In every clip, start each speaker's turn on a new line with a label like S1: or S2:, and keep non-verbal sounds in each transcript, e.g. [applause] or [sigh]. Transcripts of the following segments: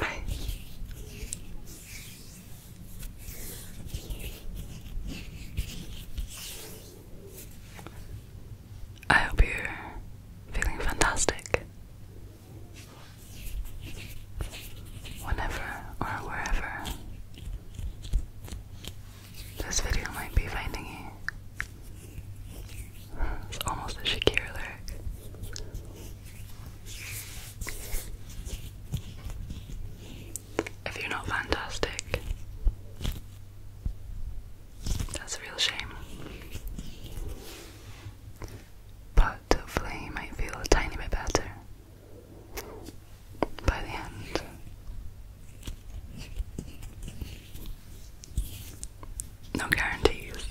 S1: Right. I hope you're feeling fantastic whenever or wherever this video might be finding you. It's almost a Shakira lyric. If you're not fantastic, that's a real shame. But hopefully, you might feel a tiny bit better by the end. No guarantees.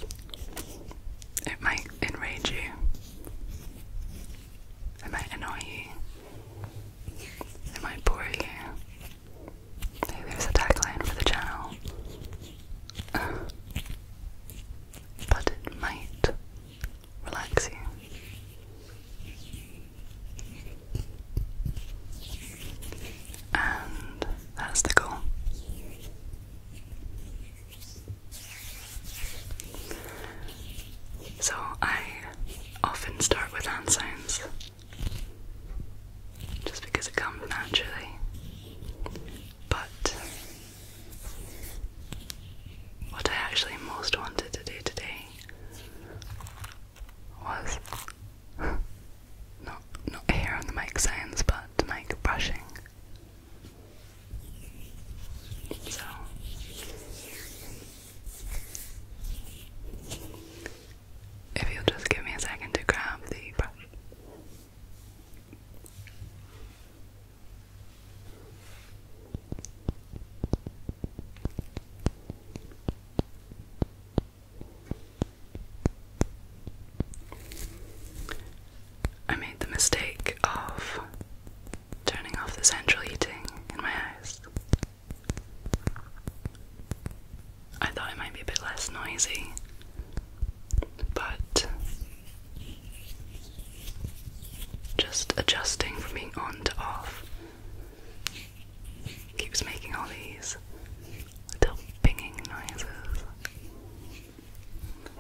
S1: It might enrage you. It might annoy you. It might bore you. Hey, there's a tagline for the channel. but it might relax you. And that's the goal. So I often start with hand signs, just because it comes naturally. But what I actually most wanted to do today was [laughs] not not here on the make sounds but to make brushing. So if you'll just give me a second to grab the brush. I made the mistake of turning off the central heating in my house. I thought it might be a bit less noisy, but just adjusting from being on to off keeps making all these little binging noises.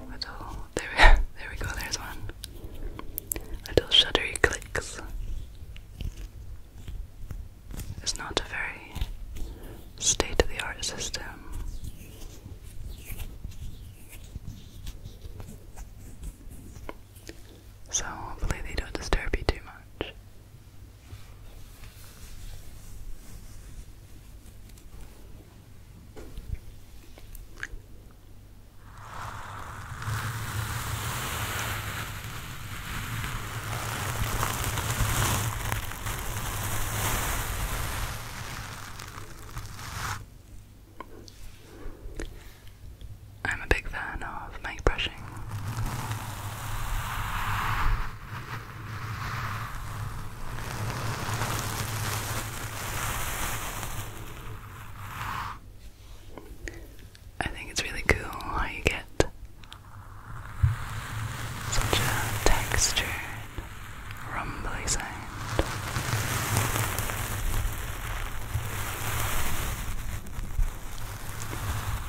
S1: Little, there [laughs] there we go, there's one. Little shuddery clicks. It's not a very state of the art system. So hopefully they don't disturb you too much. I'm a big fan of mic brushing. I think it's really cool how you get such a textured, rumbly sound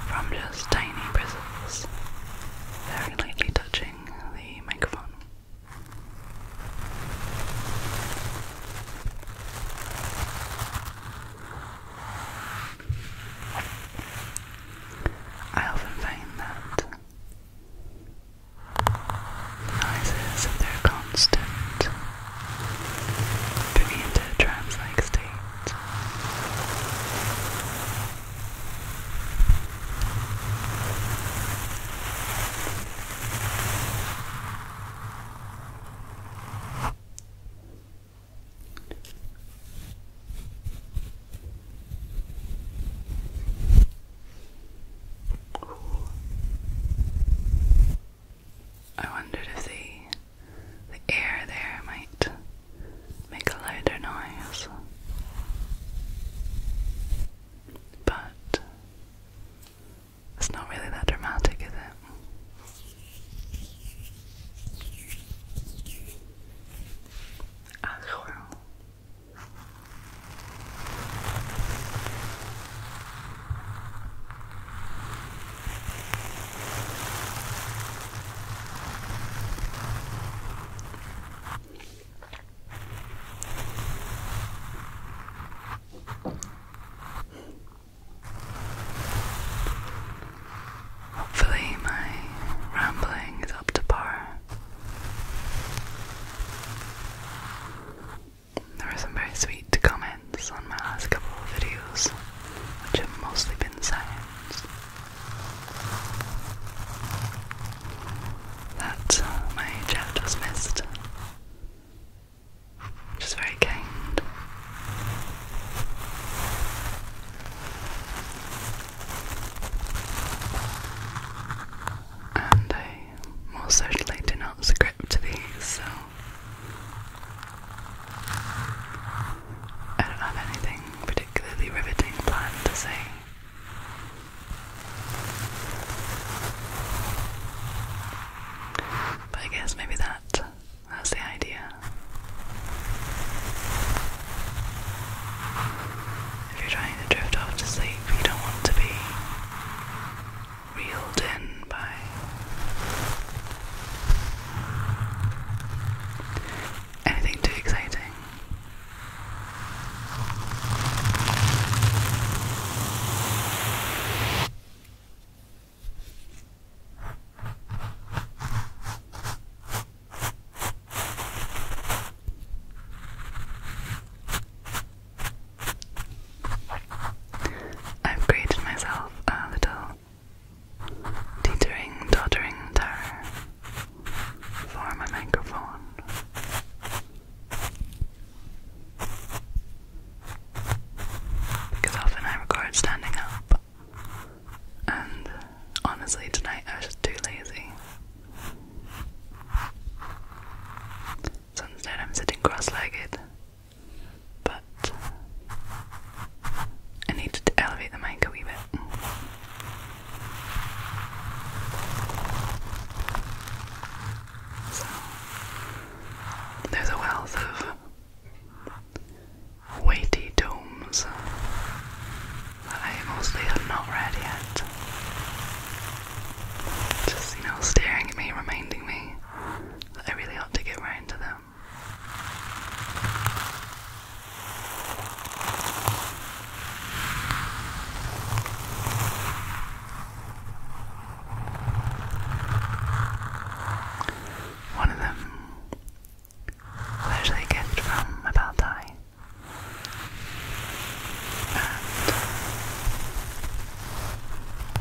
S1: from just tiny bristles very lightly touching the microphone. I often find that noises of constant bring into a trance-like state. Ooh. I wondered if the the air there might make a louder noise. But it's not really that dramatic, is it? Ah, well. Hopefully, my rambling is up to par. There were some very sweet comments on my last couple of videos, which have mostly been science. That uh, my chat was missed, which is very kind. And I most certainly do not script these, so I don't have anything particularly riveting planned to say. But I guess maybe that that's the idea. If you're trying to drift off to sleep, you don't want to be reeled in by anything too exciting. I've created myself a little teetering, tottering tower for my microphone. Because often I record standing up, and honestly, tonight I was too lazy. So instead, I'm sitting cross legged. But uh, I need to elevate the mic a wee bit. So, there's a wealth of weighty tomes that I mostly have not read yet. Just, you know, staring at me, reminding me that I really ought to get round to them. One of them actually a from my pal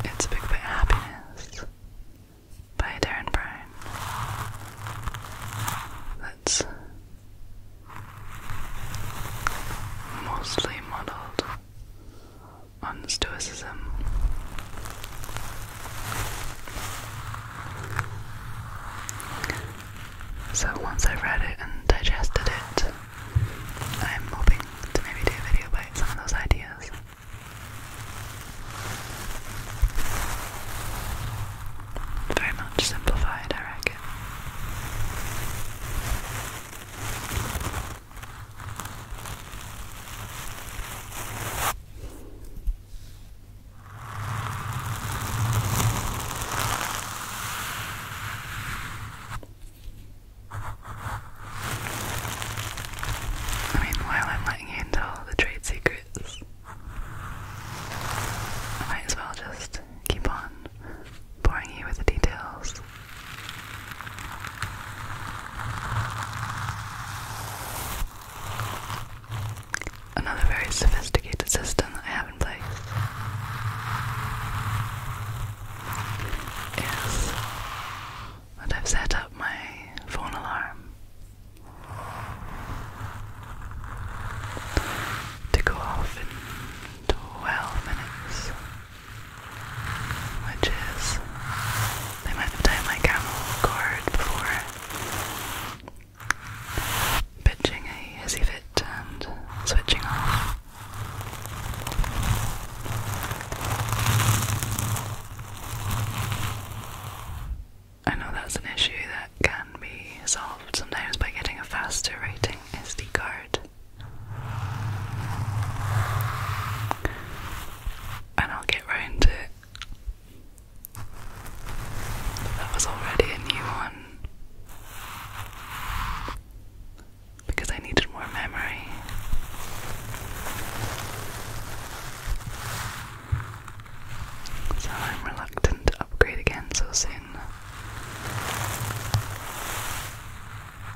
S1: it's a big bit happiness by Darren Brown. That's mostly modelled on Stoicism. So once I read it and digested it, I'm hoping to maybe do a video about some of those ideas. Very much simplified, I reckon. I mean, while I'm letting you into all the trade secrets, I might as well just keep on boring you with the details. Another very sophisticated system I have in place is that I've set up my phone alarm to go off in 12 minutes, which is the amount of time I can record before pitching a hissy fit and switching off. I know that's an issue that can be solved sometimes by getting a faster rating SD card. And I'll get round to it. That was already a new one because I needed more memory. So I'm reluctant to upgrade again so soon.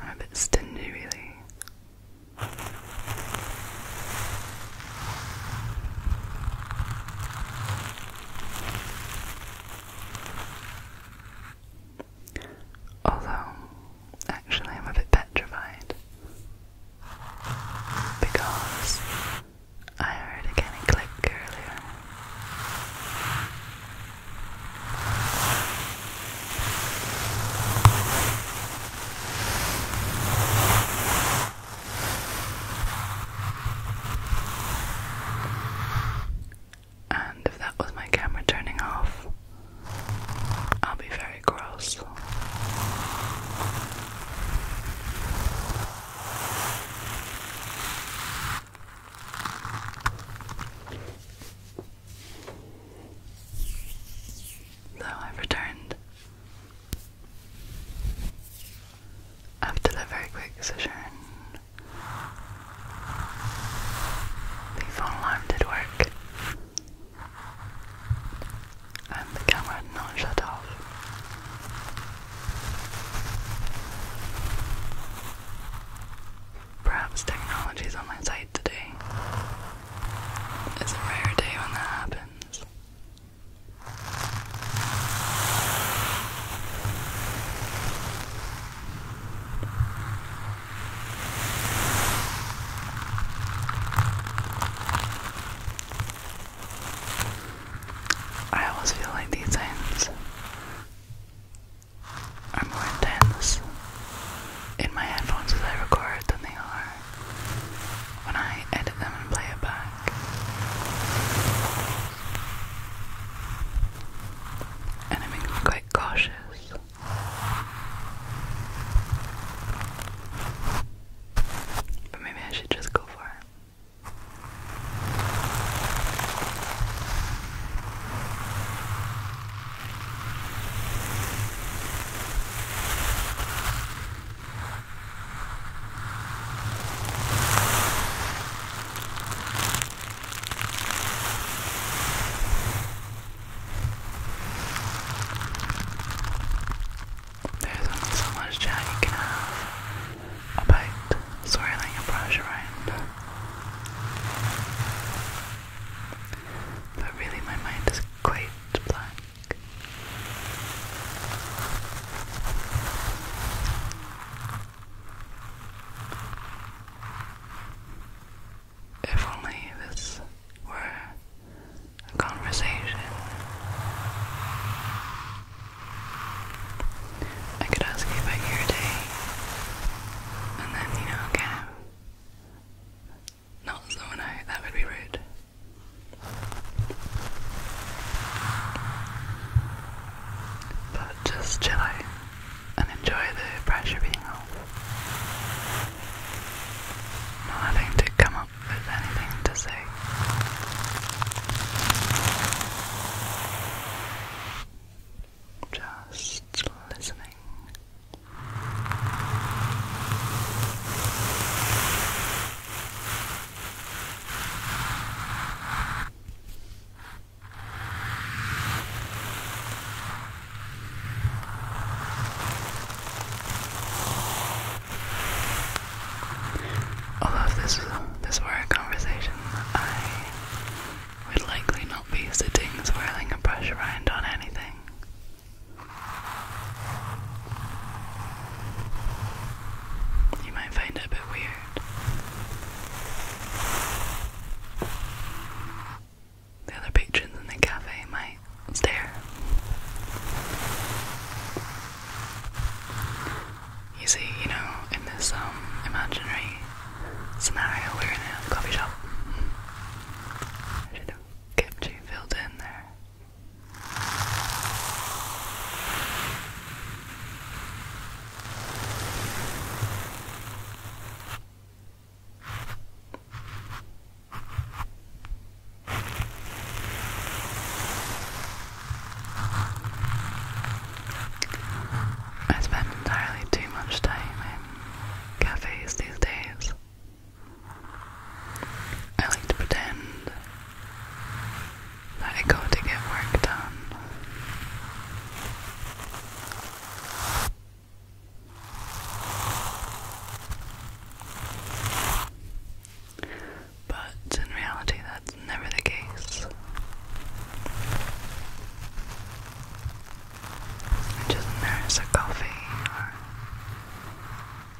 S1: I'm a bit stingy, really. Although, actually, I'm a bit petrified because I heard a kind click earlier and if that was my camera turning off, I'll be very cross. So I've returned. After that very quick session the phone alarm did work. And the camera had not shut off. Perhaps technology my side today. It's a rare day when that happens. I always feel like these ends are more intense in my headphones as I record than they are when I edit them and play it back. And it makes me quite cautious. But maybe I should just go for it. There's only so much chat you can have about swirling a brush around. But really, my mind is quite blank. If only this were a conversation. I could ask you about your day, and then, you know, kind of not zone out, that would be rude. But just chill out and enjoy the pressure being off. Not having to come up with anything to say. Just listening. Although this, this were a conversation, I would likely not be sitting swirling a brush around on anything. You might find it a bit weird. The other patrons in the cafe might stare. You see, you know, in this um imaginary scenario we're in a coffee shop. I should have kept you filled in there. I spend entirely too much time in cafes these days. I like to pretend that I go to get work done. But in reality, that's never the case. just nurse a coffee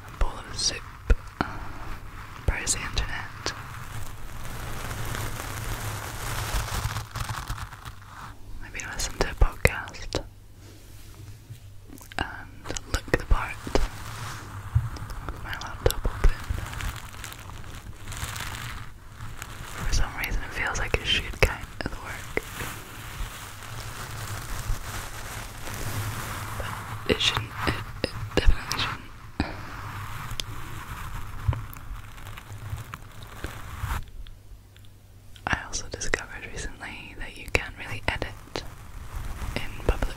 S1: a bowl of soup, browse the internet, Maybe listen to a podcast and look the part my laptop open. For some reason, it feels like it should kind of work, but it shouldn't. It, it definitely shouldn't. I also discovered recently that you can't really edit in public.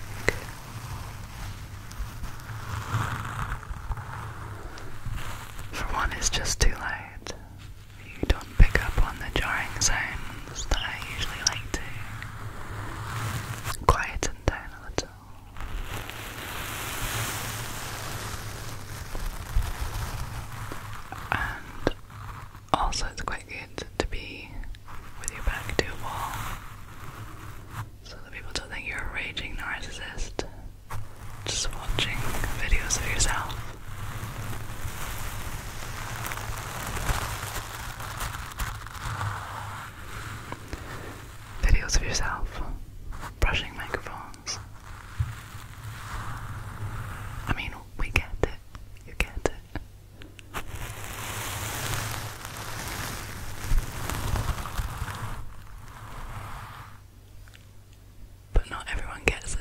S1: For one, it's just too loud. You don't pick up on the jarring sounds that I usually like to. Quieten down a little. And also, it's quite good to be with your back to a wall so that people don't think you're a raging narcissist just watching videos of yourself videos of yourself brushing microphones. I mean, we get it. You get it. But not everyone gets it.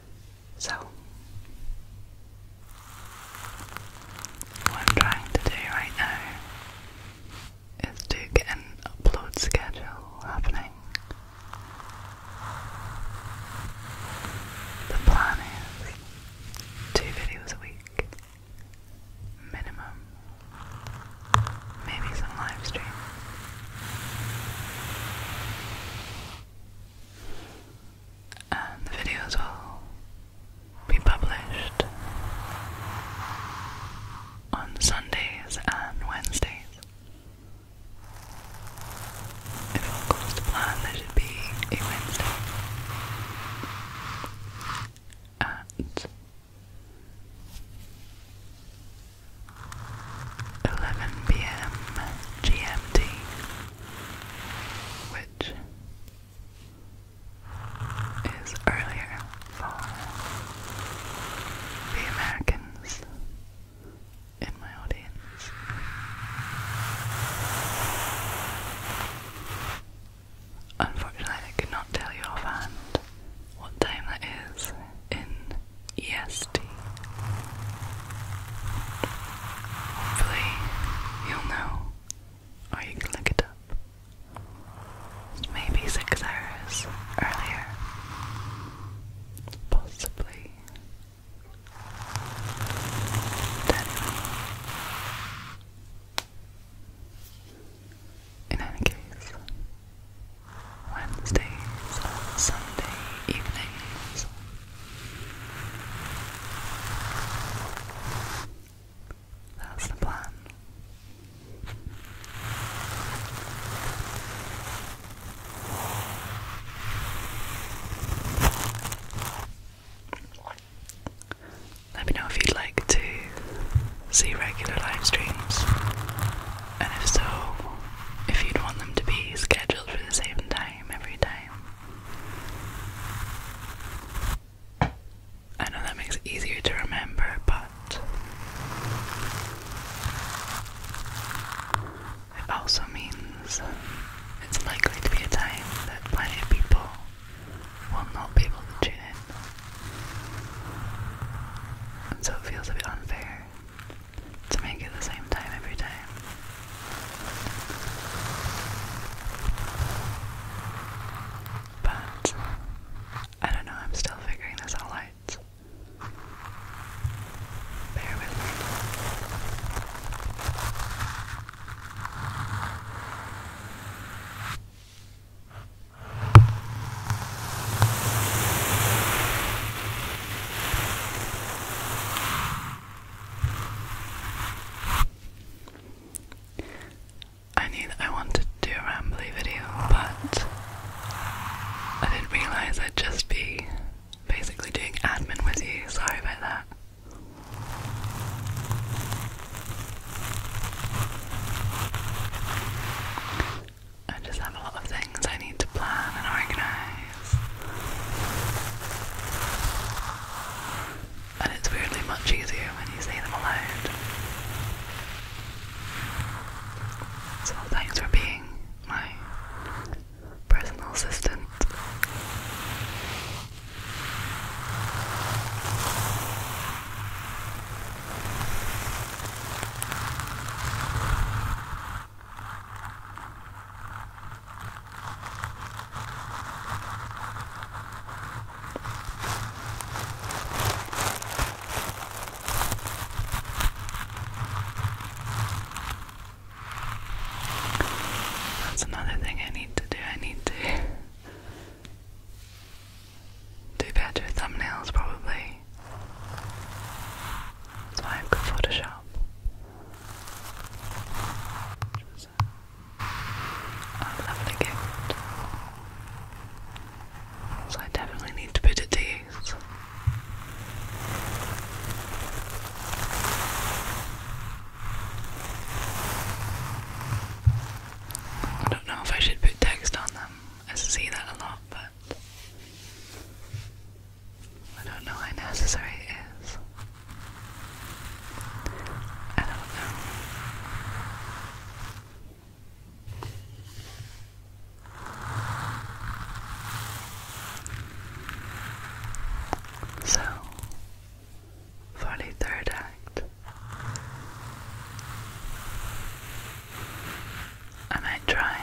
S1: So, what I'm trying to do right now is to get an upload schedule happening. The plan is two videos a week, minimum, maybe some live stream and the videos will be published on Sundays and Wednesdays. If all goes to plan, there should be a Wednesday at 11 p.m. GMT, is earlier the Americans in my audience. Unfortunately, I could tell you offhand what time that is in EST. Hopefully, you'll know, or can look it up. maybe six hours earlier, possibly. In any case, Wednesdays Sunday evenings that's the plan. Let me know if you'd like to see regular live streams, and if so, if you'd want them to be scheduled for the same time every I know that makes it easier to remember, but it also means it's likely to be a time that plenty of people will not be able to tune in. And so it feels a bit unfair to make it the same time every time. But I don't know, I'm still figuring this all out. Bear with me. I need. I wanted to do a rambly video, but I didn't realise I'd just be basically doing admin with you. Sorry about that. I just have a lot of things I need to plan and organise. And it's weirdly much easier when you say them aloud. So thanks for being my personal assistant. That's another thing I need to do. I need to do better thumbnails, probably. That's why I've Photoshop which was a, a So I definitely need to put it to I don't know if I should put text on them. I see that a lot, but I don't know how necessary it is. I don't know. So, for the third act, I might try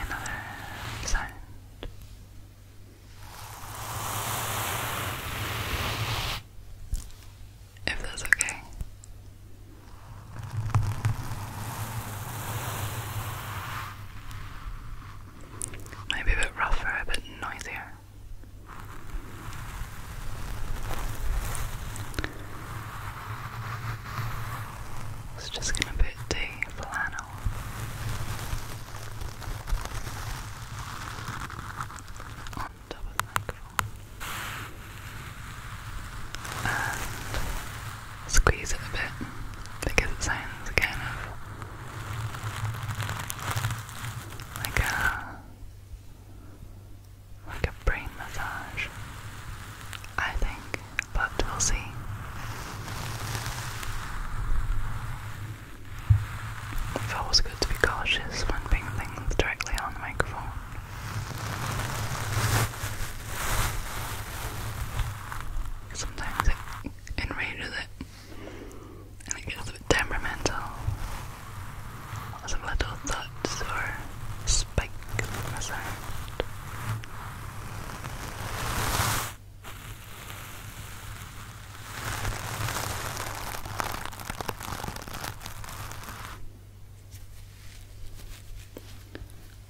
S1: if that's okay. Maybe a bit rougher, a bit noisier. It's just gonna put the flannel on top microphone and squeeze it a bit because it sounds kind of like a like a brain massage, I think, but we'll see. I It's always good to be cautious when being things directly on the microphone. Sometimes it enrages it and it gets a bit temperamental. Lots little thuds or spikes in the sound.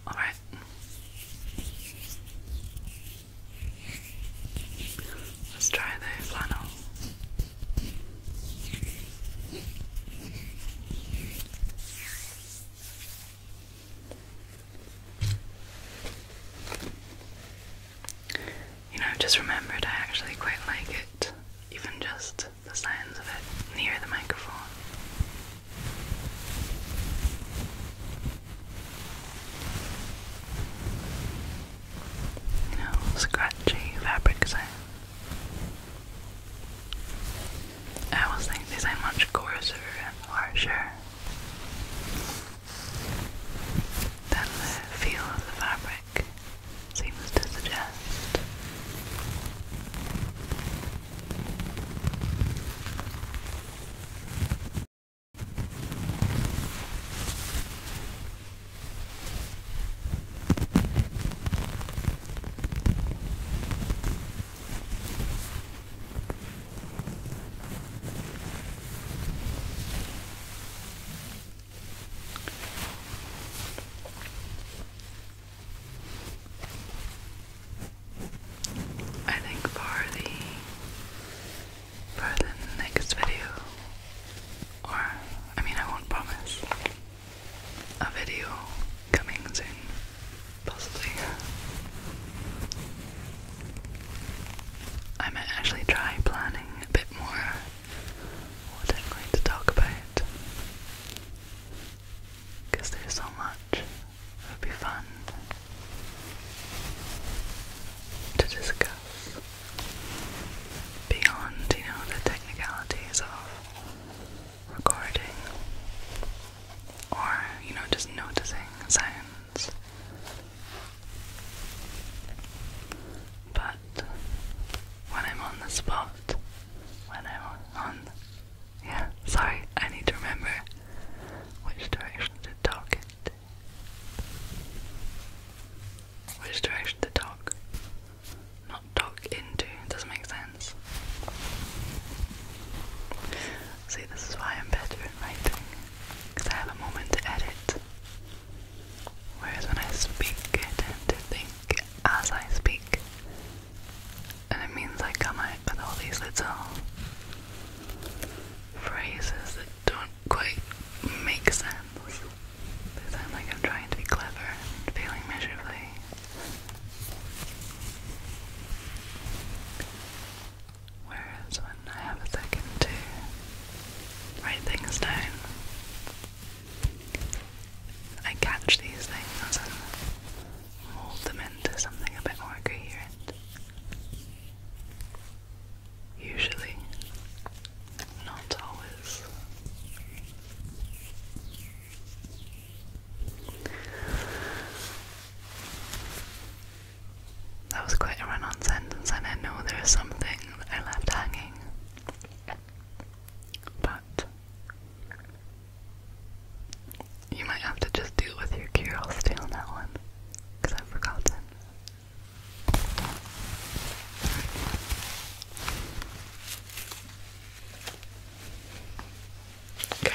S1: All right. Let's try the flannel. You know, just remembered I actually quite like it, even just the sounds of it near the microphone. You know, scratchy fabric sound. I always think they much coarser and harsher than the feel of the fabric seems to suggest. I think for the for the next video or I mean I won't promise a video coming soon possibly. I might actually try planning a bit more what I'm going to talk about because there's so much. It would be fun to discuss beyond, you know, the technicalities of recording or, you know, just noticing sound. But when I'm on the spot, when I'm on, yeah, sorry, I need to remember which direction to talk Which direction to talk, not talk into, doesn't make sense. See, this is why I'm better at writing, because I have a moment to edit. Whereas when I speak, I tend to think as I speak. And it means I come out with all these little phrases that don't quite make sense. They sound like I'm trying to be clever and failing miserably. Whereas when I have a second to write things down, I catch these things and mold them into something a bit more coherent. Usually, not always. That was quite a run on sentence, and I know there is something that I left hanging. But you might have to just deal with your curiosity on that one, because I've forgotten. Okay.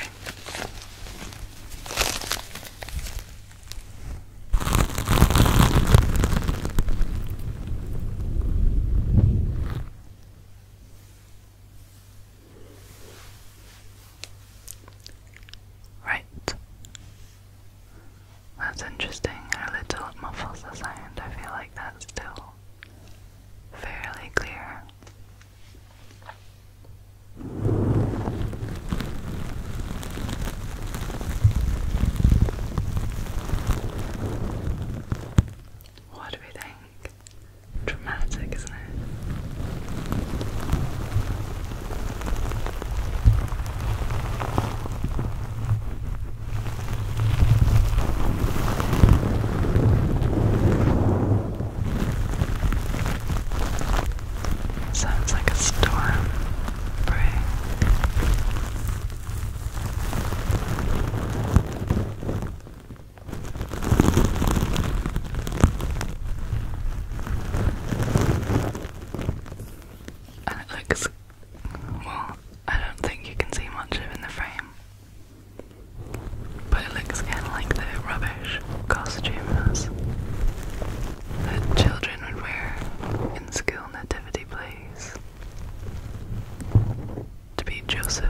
S1: Right. That's interesting how little muffles the sound. I feel like that's still fairly clear. What do we think? Dramatic, isn't it? Sounds like a storm And it looks well, I don't think you can see much of in the frame. But it looks kind of like the rubbish costumes that children would wear in school nativity plays to be Joseph.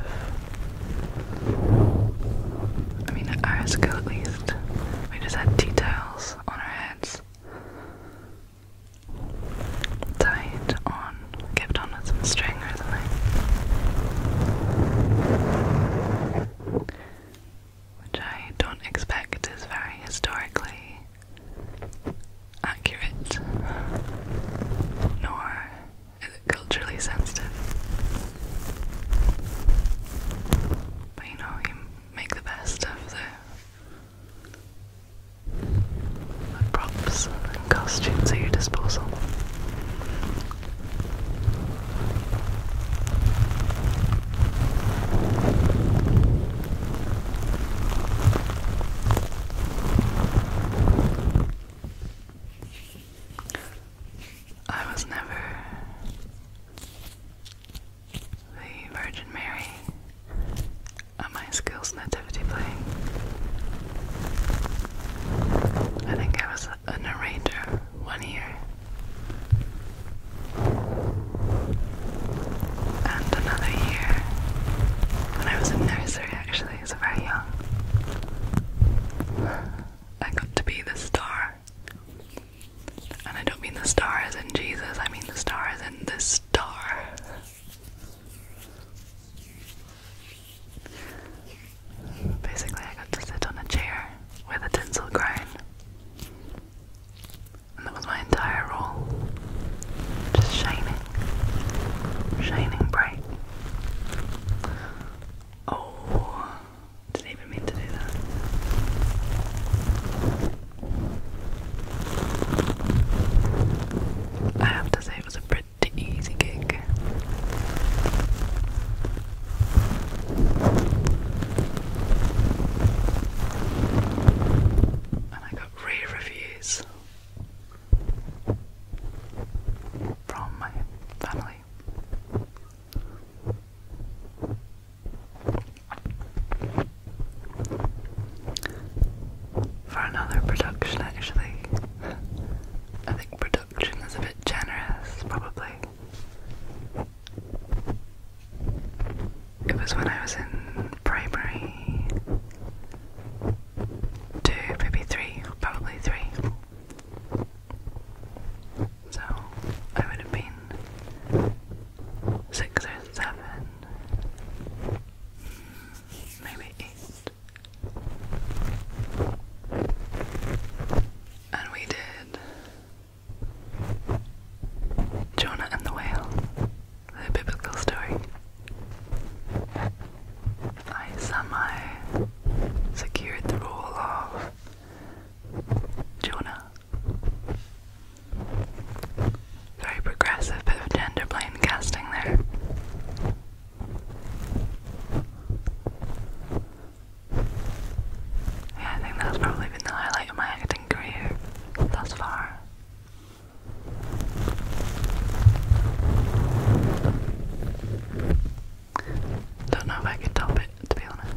S1: I mean, at our at least, we just had tea on our heads, tied on, kept on with some string or something which I don't expect is very historically accurate, nor is it culturally sensitive. But you know, you make the best of the, props and costumes at your disposal. I was never the Virgin Mary on my skills nativity play. I think I was a narrator, one year and another year when I was in nursery actually, so very young. I got to be the star. And I don't mean the stars as in Jesus, I mean the stars as in the star. Basically, I got to sit on a chair with a tinsel crown, and that was my entire roll. Just shining, shining bright. Oh, didn't even mean to do that. I have to say, it was a pretty easy gig. And I got rave reviews from my family. For another production, actually, [laughs] I think reduction a bit generous, probably. It was when I was in primary two, maybe three, probably three. So I would have been six or seven, maybe eight. And we did Jonah and the Whale, the biblical story. I somehow secured the role of Jonah. Very progressive of gender blind casting there. Yeah, I think that's probably been the highlight of my acting career thus far. Don't know if I could top it, to be honest.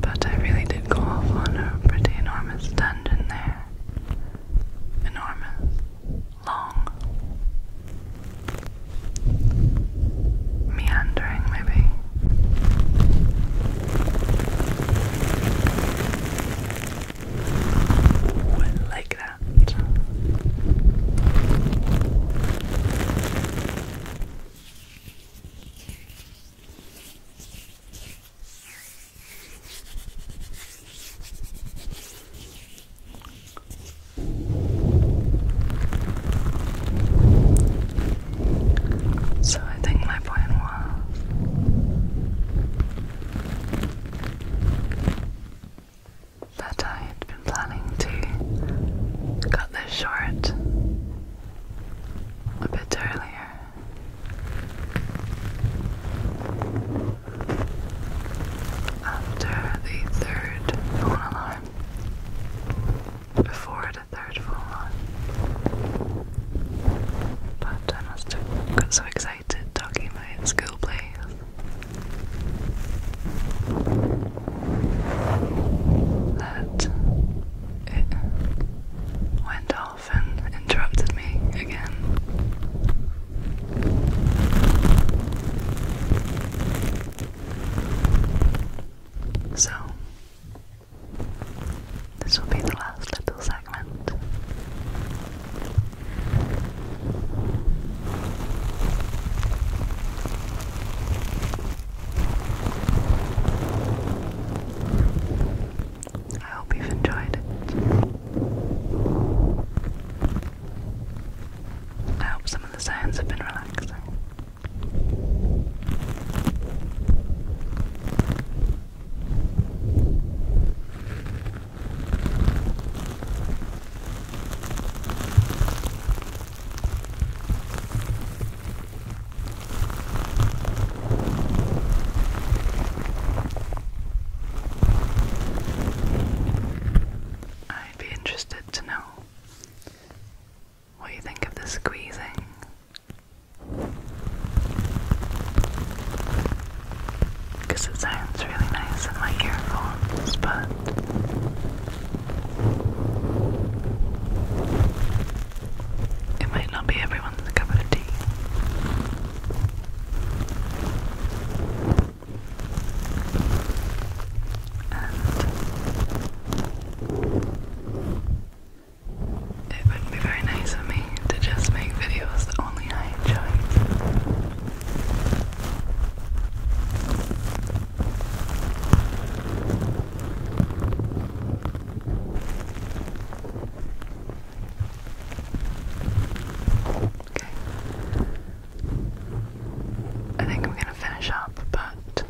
S1: But I really did go off on a pretty enormous tangent there. Enormous. Long. Meandering, maybe. like that. So I think my point was that I had been planning to cut this short a bit earlier. After the third phone alarm, before the third phone alarm, but I must have got so excited talking about school plays that it went off and interrupted me again. So, this will be the last little segment. I hope you've enjoyed it. I hope some of the sounds have been relaxing. I'd be interested to know what you think of the squeezing. Because it sounds really nice in my earphones, but it might not be everyone's cup of tea. it would be very nice of me to just make videos only I enjoy. Okay. I think I'm gonna finish up, but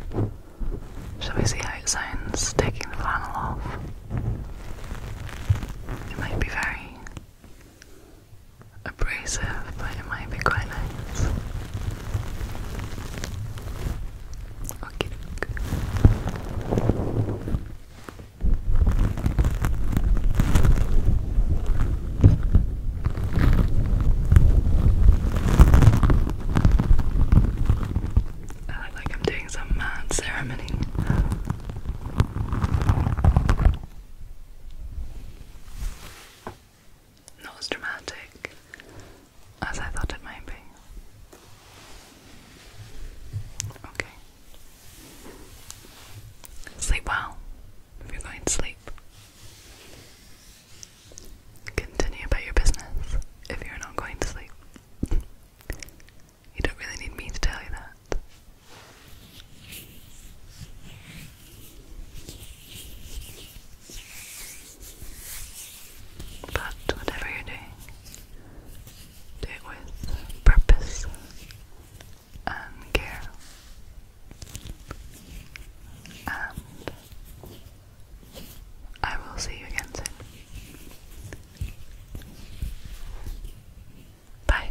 S1: shall we see how it sounds taking the flannel off? It might be very abrasive, but it might be quite nice. Okay. I look like I'm doing some mad ceremony. Not as dramatic as I thought it might be. Okay. Sleep well if you're going to sleep. Continue about your business if you're not going to sleep. You don't really need me to tell you that. But whatever you're doing, do it with purpose and care and I will see you again soon. Bye.